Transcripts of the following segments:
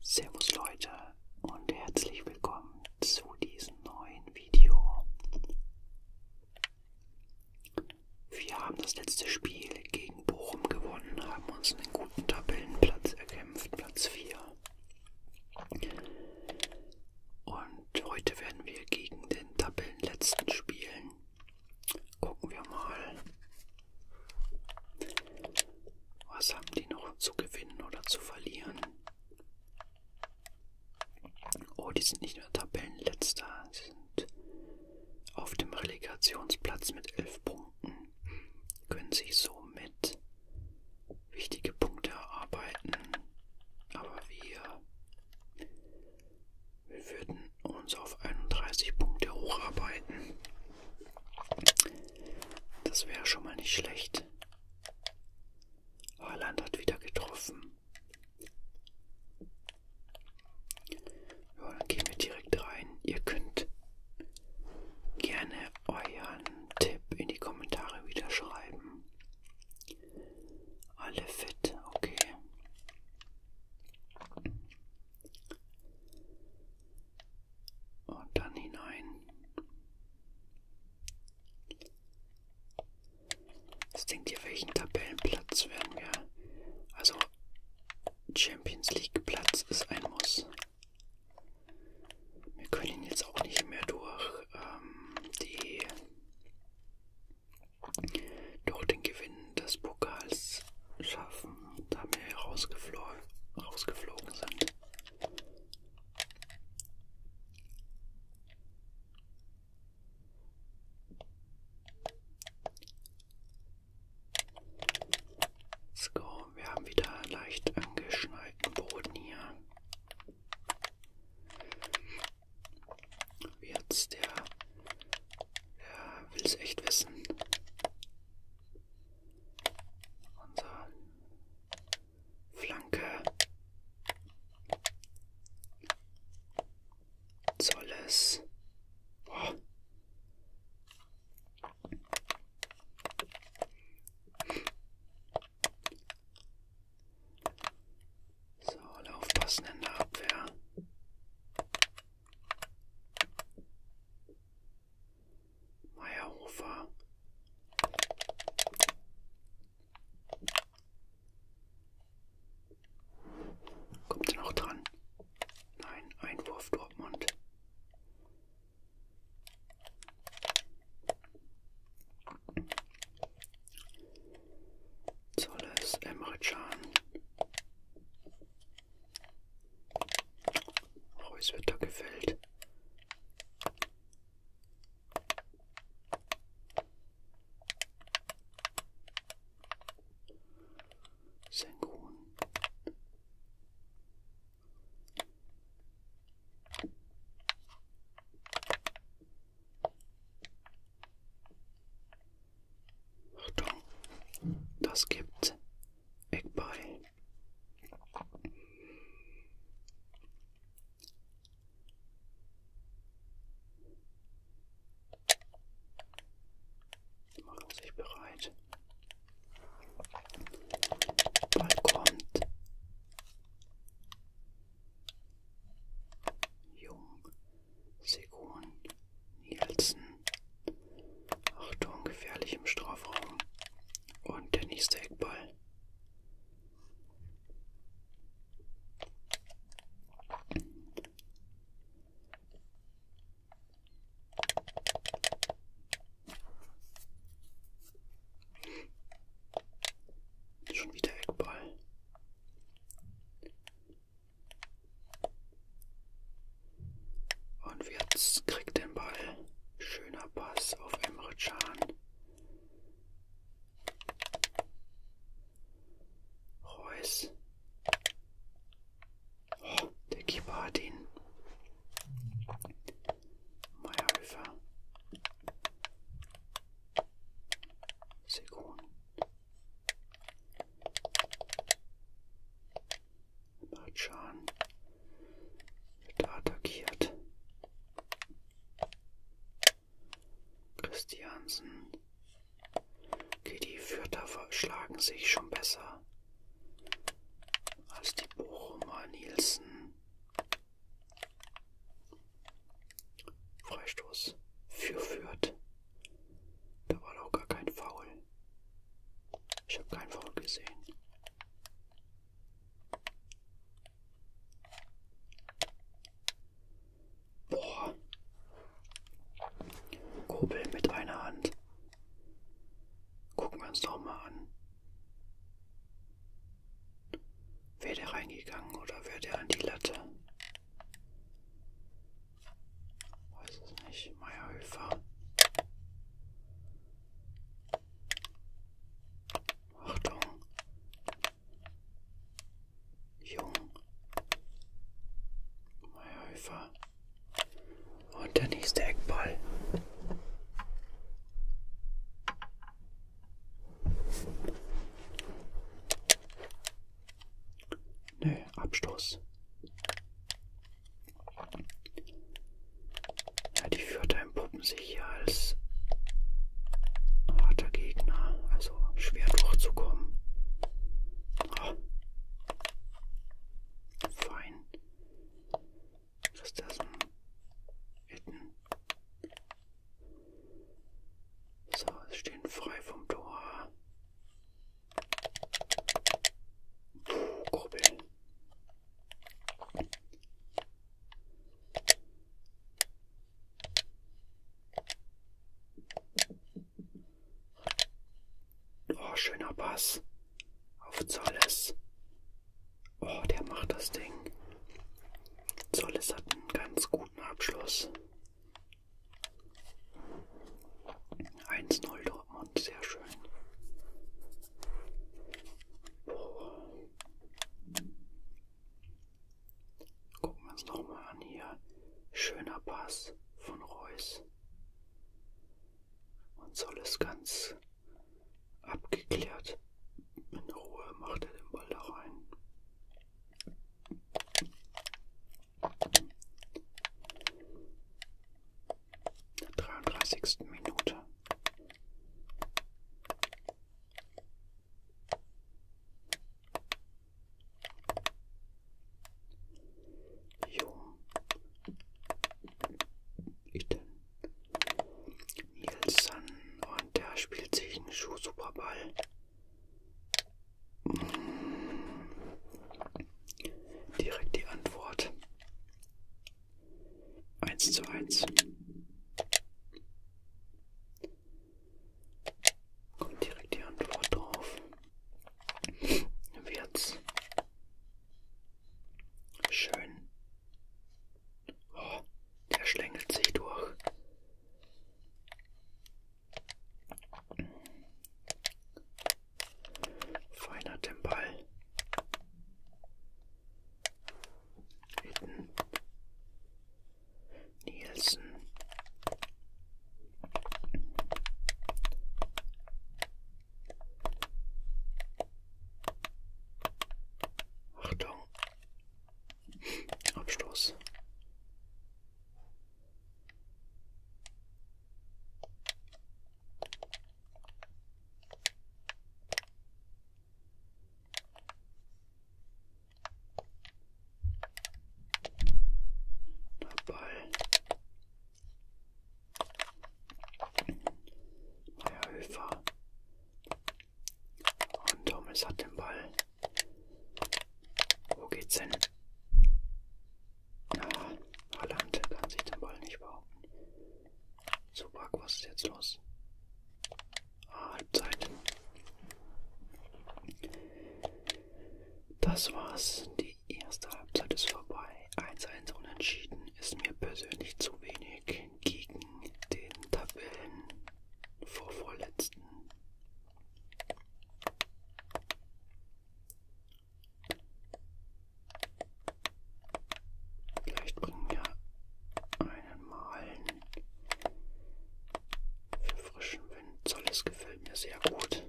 Servus Leute und herzlich willkommen zu diesem neuen Video. Wir haben das letzte Spiel gegen Bochum gewonnen, haben uns einen guten Tabellenplatz erkämpft, Platz 4. Und heute werden wir gegen den Tabellenletzten spielen. Gucken wir mal, was haben die noch zu gewinnen oder zu verlieren? Oh, die sind nicht nur Tabellenletzter, sie sind auf dem Relegationsplatz mit elf Punkten. Können sich somit wichtige Punkte erarbeiten. Aber wir, wir würden uns auf 31 Punkte hocharbeiten. Das wäre schon mal nicht schlecht. Haaland hat wieder getroffen. Ja, dann gehen wir direkt rein. Ihr könnt gerne euren Tipp in die Kommentare wieder schreiben. Alle fit, okay und dann hinein. Was denkt ihr, welchen Tabellenplatz werden wir? Also Champions League Platz ist ein Muss. Wir können ihn jetzt auch nicht mehr durch ähm, die durch den Gewinn des Pokals schaffen, da wir hier rausgeflo rausgeflogen sind. Let's go. Wir haben wieder leicht angeschneiten Boden hier. Wie jetzt der, der will es echt wissen. Unsere Flanke soll es. Boah. So, alle aufpassen in der Abwehr. Meierhofer. Kommt er noch dran? Nein, Einwurf Dortmund. Zolles, Emre Can. Reus oh, wird da gefällt. Sengun. Achtung, das gibt ik bij. Machen sich bereit. Bald kommt Jung, Segun, Nielsen. Achtung, gefährlich im Strafraum. Und der nächste Eckball. Schon wieder Eckball. Und jetzt kriegt den Ball. Schöner Pass auf Emre Can. Reus. Oh, der Keeper hat ihn. Meierhöfer. Sekunden. Bachan wird attackiert. Christiansen. Okay, die Fürther schlagen sich schon besser als die Bochumer Nielsen. Freistoß für Fürth. Da war doch gar kein Foul. Ich habe keinen Foul gesehen. Boah. Kurbel mit einer Hand. Gucken wir uns doch mal an. Wäre der reingegangen oder wäre der an die Latte? Weiß es nicht. Meierhöfer. Achtung. Jung. Meierhöfer. Und der nächste Eckball. Nö, Abstoß. Ja, die Fürther entpuppen sich hier als harter Gegner, also schwer durchzukommen. Oh. Fein. Christiansen. Hitten. So, es stehen frei vom Tor. Puh, Kurbeln. Oh, schöner Pass auf Zolles. Oh, der macht das Ding. Zolles hat einen ganz guten Abschluss. 1-0 Dortmund, sehr schön. Boah. Gucken wir uns nochmal an hier. Schöner Pass von Reus. Und soll es ganz abgeklärt. In Ruhe macht er den Ball da rein. 33. Minute. Jo. Itten. Nielsen und der spielt sich einen Schuh-Superball. Direkt die Antwort eins zu eins. Kommt direkt die Antwort drauf. Wird's schön. Oh, der schlängelt sich durch. Feiner den Ball. Hitten. Nielsen. Achtung. Abstoß. Dabei. Meyerhöfer. Und Thomas hat den Ball. Wo geht's hin? Na, Holland kann sich den Ball nicht behaupten. So, Marc, was ist jetzt los? Ah, Halbzeit. Das war's. Die erste Halbzeit ist vorbei. 1-1 unentschieden ist mir persönlich zu wenig gegen den Tabellen vorvorletzten. Vielleicht bringen wir einen Malen für frischen Wind. Zolles gefällt mir sehr gut.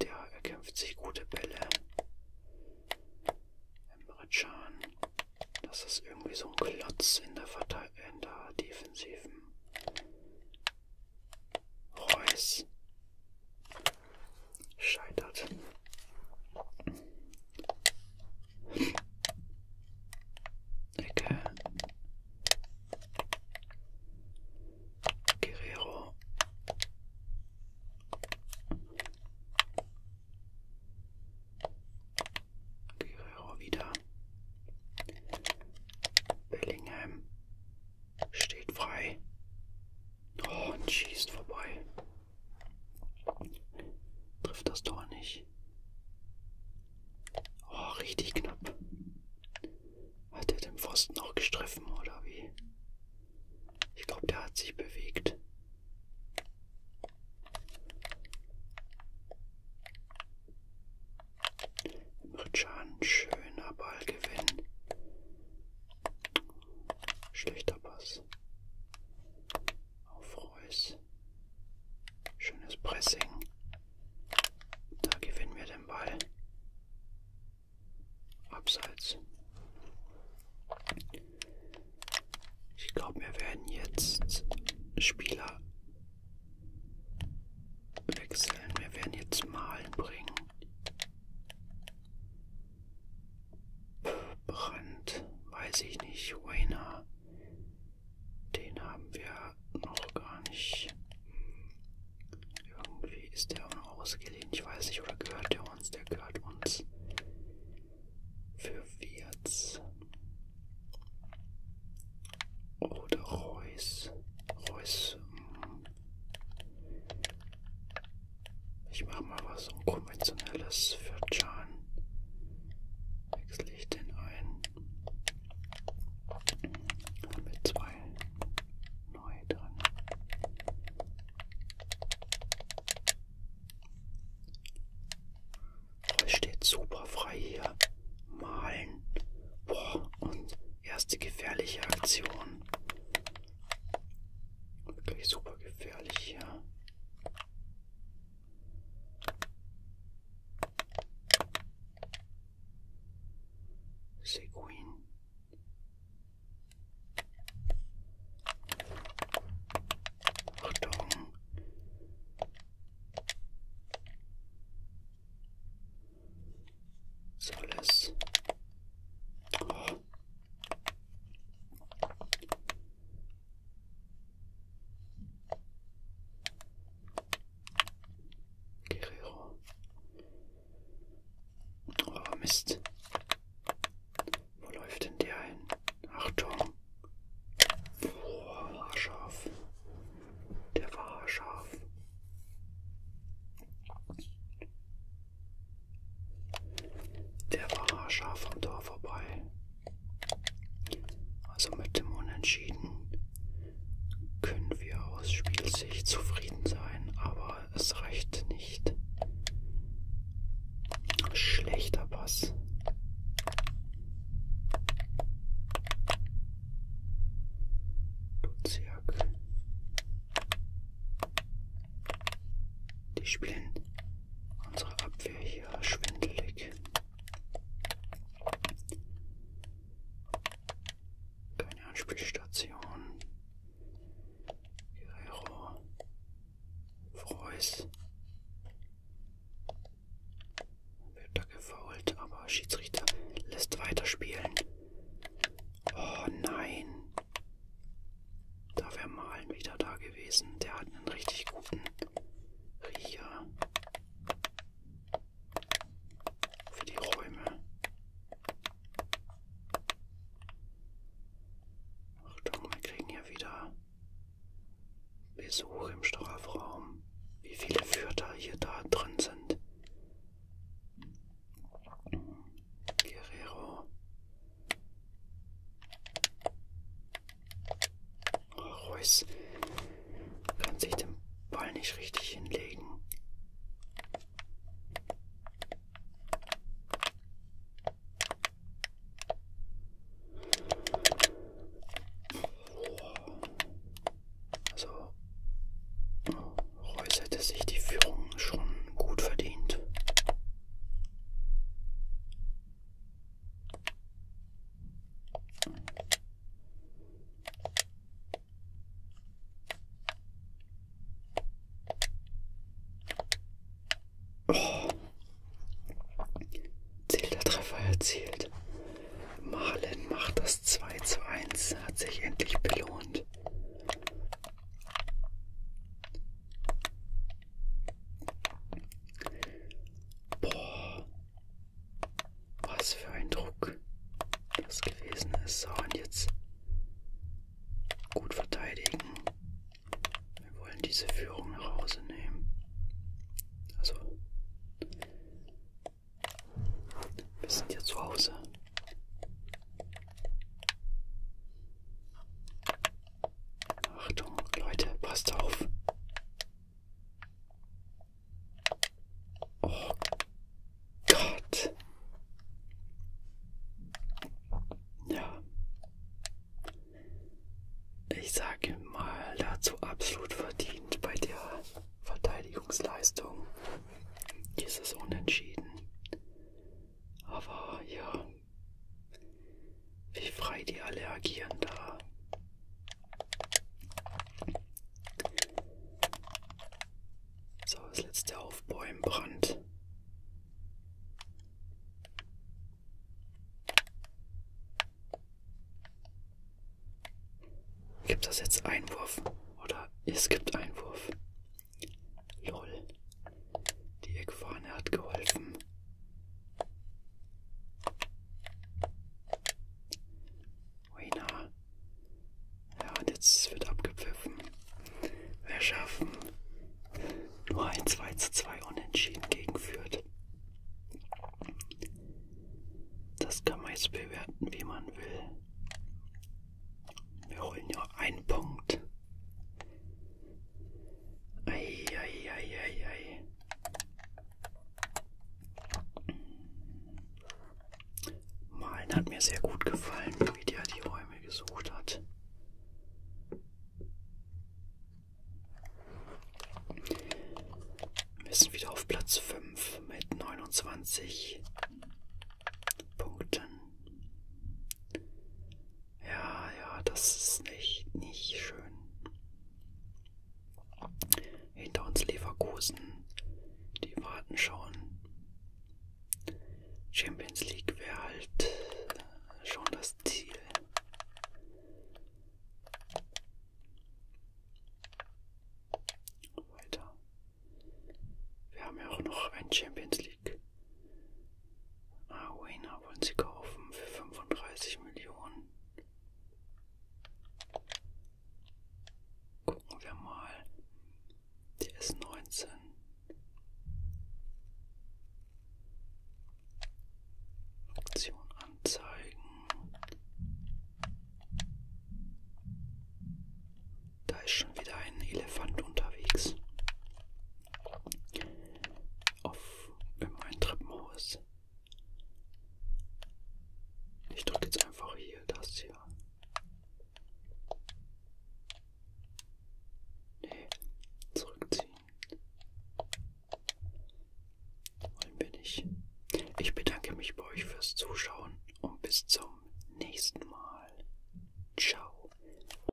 Der erkämpft sich gute Bälle. Emre Can. Das ist irgendwie so ein Klotz in der, Verte in der defensiven. Reus scheitert. Ecke. Guerrero. Guerrero wieder. Bellingham steht frei. Oh, und schießt vorbei. Trifft das Tor nicht. Oh, richtig knapp. Hat er den Pfosten auch gestriffen oder wie? Ich glaube, der hat sich bewegt. Ritschan, schöner Ballgewinn. Schlechter Pass. Auf Reus. Schönes Pressing. Da gewinnen wir den Ball. Abseits. Ich glaube, wir werden jetzt Spieler wechseln. Wir werden jetzt Malen bringen. Brand, weiß ich nicht. Wayner, den haben wir noch gar nicht. Irgendwie ist der auch noch ausgelehnt. Ich weiß nicht, oder gehört der uns? Der gehört uns. Für Wirtz. Oder Reus. Reus. Hm. Ich mache mal was Unkonventionelles für Chan. Wechsle ich den ein. Mit zwei neu dran. Oh, steht super frei hier. Malen. Boah, und erste gefährliche Aktion. Wirklich super gefährlich hier. Seguin. Achtung. Soll es. Oh, Guerrero. Oh Mist. Wo läuft denn der hin? Achtung. Boah, haarscharf. Der war haarscharf. Der war haarscharf am Tor vorbei. Also mit dem Unentschieden können wir aus Spielsicht zufrieden sein, aber es reicht nicht. Schlechter Pass. Duziak. Die spielen unsere Abwehr hier schwindelig. Keine Anspielstation. Guerrero. Freus. Wird da gefault, aber Schiedsrichter lässt weiterspielen. Oh nein. Da wäre Malen wieder da gewesen. Der hat einen richtig guten Riecher für die Räume. Achtung, wir kriegen hier wieder Besuch im Strafraum. Wie viele Führer hier da drin sind. Guerrero, Reus kann sich den Ball nicht richtig hinlegen. Also Reus hätte sich die Führung schon gut verdient. Oh. Zählter Treffer erzielt. Malen macht das 2 zu 1, hat sich endlich belohnt. Boah, was für ein Druck das gewesen ist. So, und jetzt gut verteidigen. Wir wollen diese Führung nach Hause nehmen. Also, wir sind ja zu Hause. Achtung, Leute, passt auf. Oh Gott. Ja. Ich sage mal dazu absolut verdient bei der Verteidigungsleistung. Dieses Unentschieden. Aber ja, wie frei die alle agieren da. So, das letzte Aufbäumen Brand. Gibt das jetzt Einwurf? Oder es gibt Einwurf. Lol. Die Eckfahne hat geholfen. Oina. Ja, und jetzt wird abgepfiffen. Wir schaffen nur ein 2 zu 2 Unentschieden gegenführt. Das kann man jetzt bewerten, wie man will. Wir holen ja einen Punkt. Ei, ei, ei, ei, ei. Malen hat mir sehr gut gefallen, wie der die Räume gesucht hat. Wir sind wieder auf Platz 5 mit 29 Punkten. Ja, ja, das ist nicht, nicht schön. Hinter uns Leverkusen, die warten schon. Champions League wäre halt schon das Ziel. Weiter. Wir haben ja auch noch ein Champions League. League. Arena wollen sie kaufen für 35 Millionen. Gucken wir mal. Der ist 19. Aktion anzeigen. Da ist schon wieder ein Elefant unterwegs auf mein Treppenhaus. Ich drücke jetzt einfach hier das hier. Nee, zurückziehen. Wollen wir nicht. Ich bedanke mich bei euch fürs Zuschauen und bis zum nächsten Mal. Ciao.